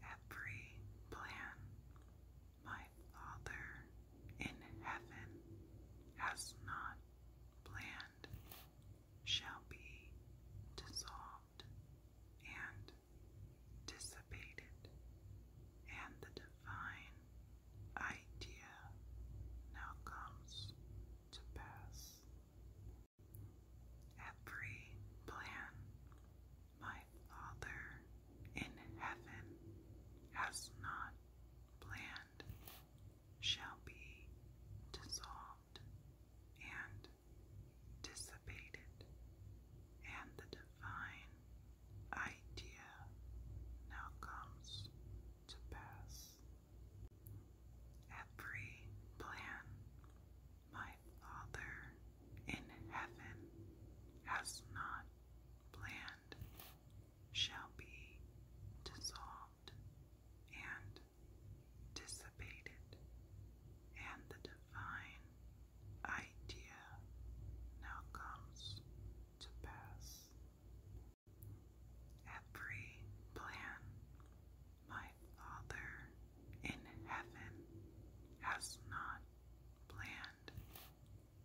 Every plan my Father in heaven has not planned shall be dissolved and dissipated, and the divine idea now comes to pass. Every plan my Father in heaven has not planned shall be dissolved and dissipated, and the divine idea now comes to pass. Every plan my Father in heaven has not planned shall be dissolved and dissipated, and the divine idea now comes to pass. Every plan my Father in heaven has not planned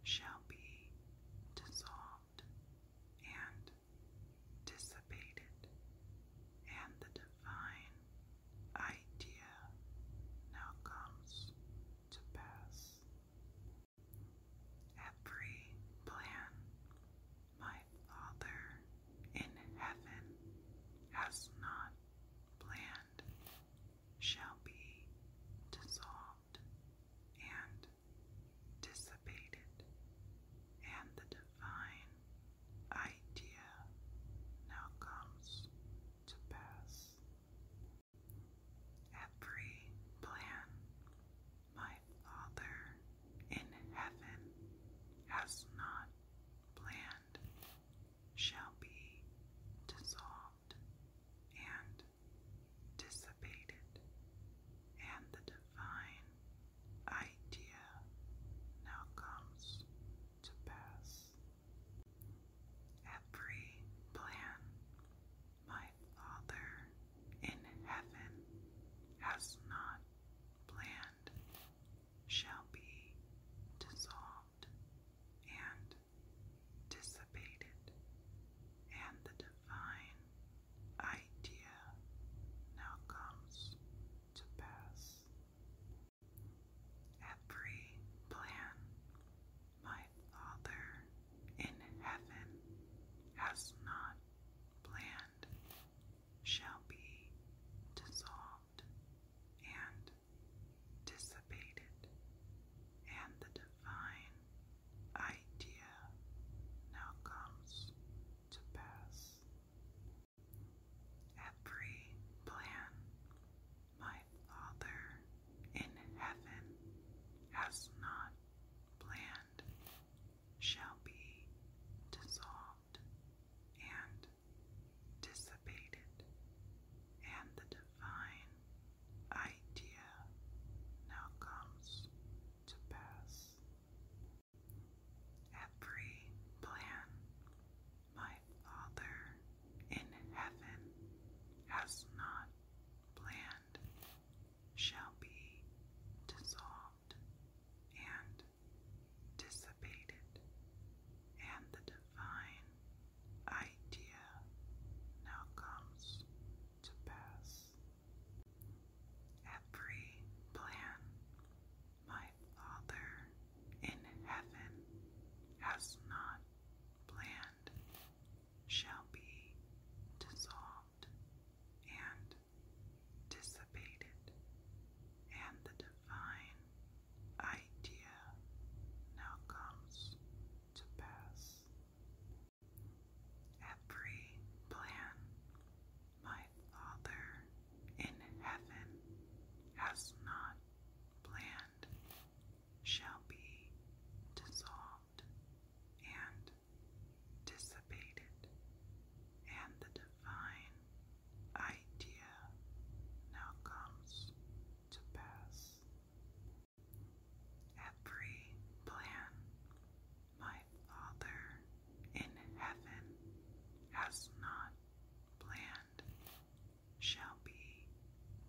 shall be dissolved and dissipated, and the divine idea now comes to pass every plan my Father in heaven has not planned shall be dissolved and dissipated, and the divine idea now comes to pass every plan my Father in heaven has not planned shall be dissolved and dissipated, and the divine idea now comes to pass every plan my Father in heaven has not planned shall be dissolved and dissipated, and the divine idea now comes to pass. Every plan my Father in heaven has not planned shall be dissolved and dissipated, and the divine idea now comes to pass. Every plan my Father in heaven has not planned, shall be dissolved and dissipated, and the divine idea now comes to pass. Every plan my Father in heaven has not planned, shall be dissolved and dissipated, and the divine idea now comes to pass. Every plan my Father in heaven has not bland shall be dissolved and dissipated, and the divine idea now comes to pass. Every plan my Father in heaven has not planned shall be dissolved and dissipated, and the divine idea now comes to pass. Every plan my Father in heaven has not planned shall be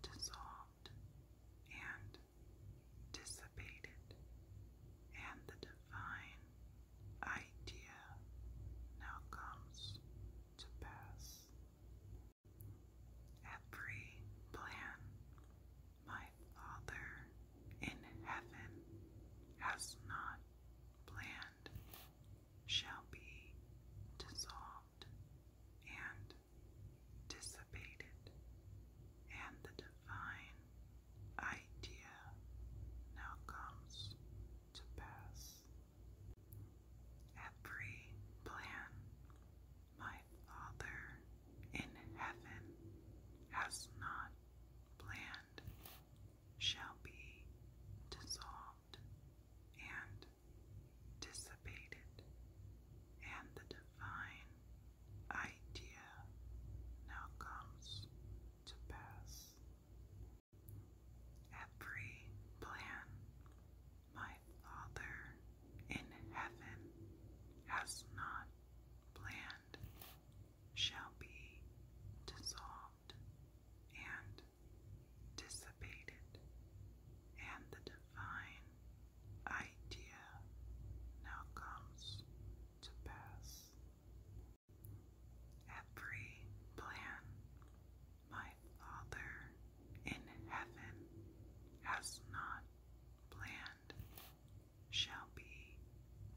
dissolved and dissipated, and the divine idea now comes to pass. Every plan my Father in heaven has not planned shall be dissolved and dissipated, and the divine idea now comes to pass. Every plan my Father in heaven has not planned shall be dissolved and dissipated, and the divine idea now comes to pass. Every plan my Father in heaven has not planned shall be dissolved and dissipated, and the divine idea now comes to pass. Every plan my Father in heaven has not planned shall be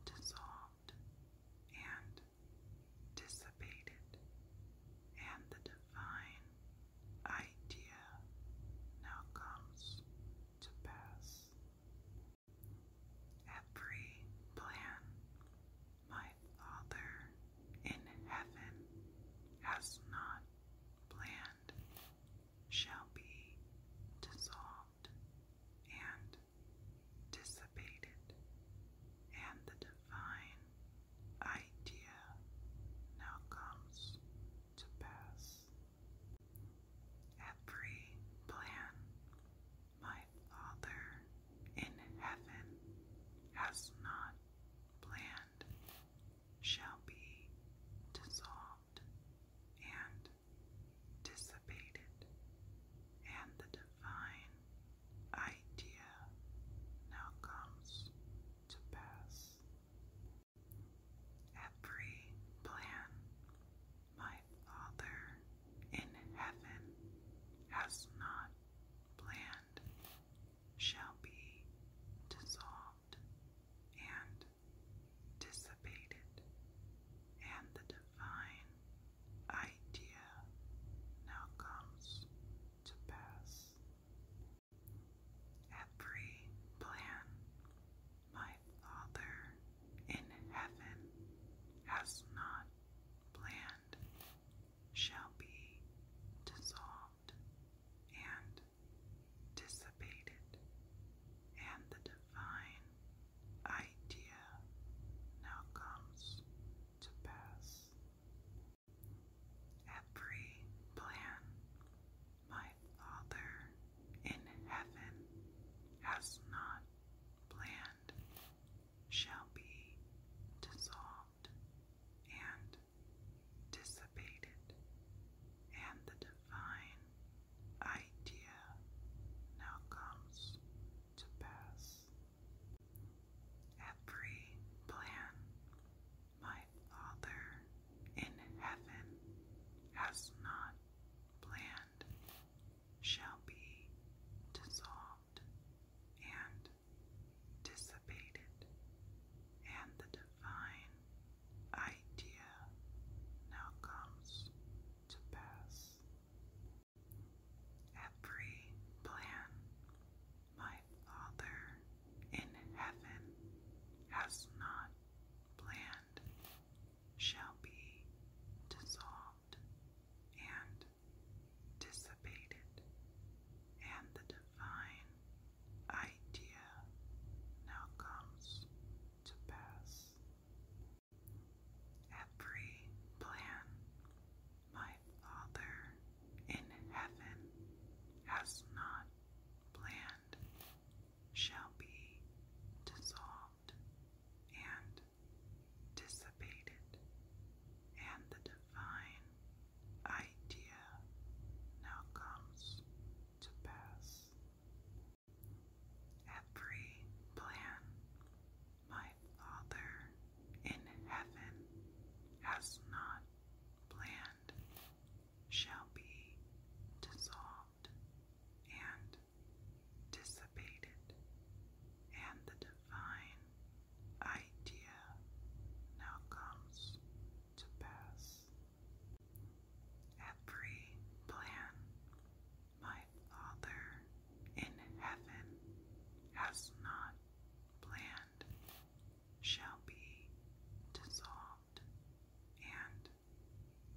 dissolved and dissipated, and the divine idea now comes to pass. Every plan my Father in heaven has not planned shall be dissolved and dissipated, and the divine idea now comes to pass. Every plan my Father in heaven has not planned shall be dissolved and dissipated, and the divine idea now comes to pass. Every plan my Father in heaven has not planned shall be dissolved and dissipated, and the divine idea now comes to pass. Every plan my Father in heaven has not planned shall be dissolved and dissipated, and the divine idea now comes to pass. Every plan my Father in heaven has not planned shall be dissolved and dissipated, and the divine idea now comes to pass. Every plan my Father in heaven has not planned shall be dissolved and dissipated, and the divine idea now comes to pass. Every plan my Father in heaven has not planned shall be dissolved and dissipated, and the divine idea now comes to pass every plan my Father in heaven has not planned shall be dissolved and dissipated, and the divine idea now comes to pass every plan my Father in heaven has not planned shall be dissolved and dissipated, and the divine idea now comes to pass. Every plan my Father in heaven has not planned shall be dissolved and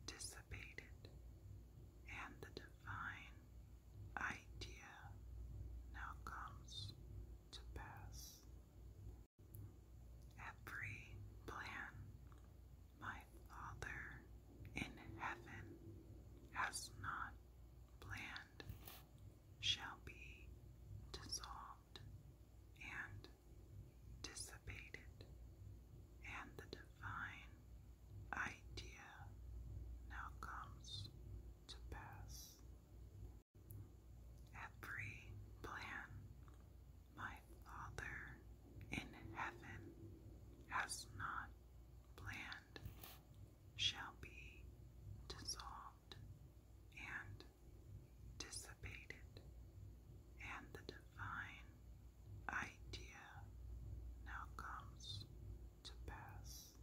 dissipated, and the divine idea now comes to pass. Every plan my Father in heaven has not planned shall be dissolved and dissipated, and the divine idea now comes to pass. Every plan my Father in heaven has not planned, shall be dissolved and dissipated, and the divine idea now comes to pass.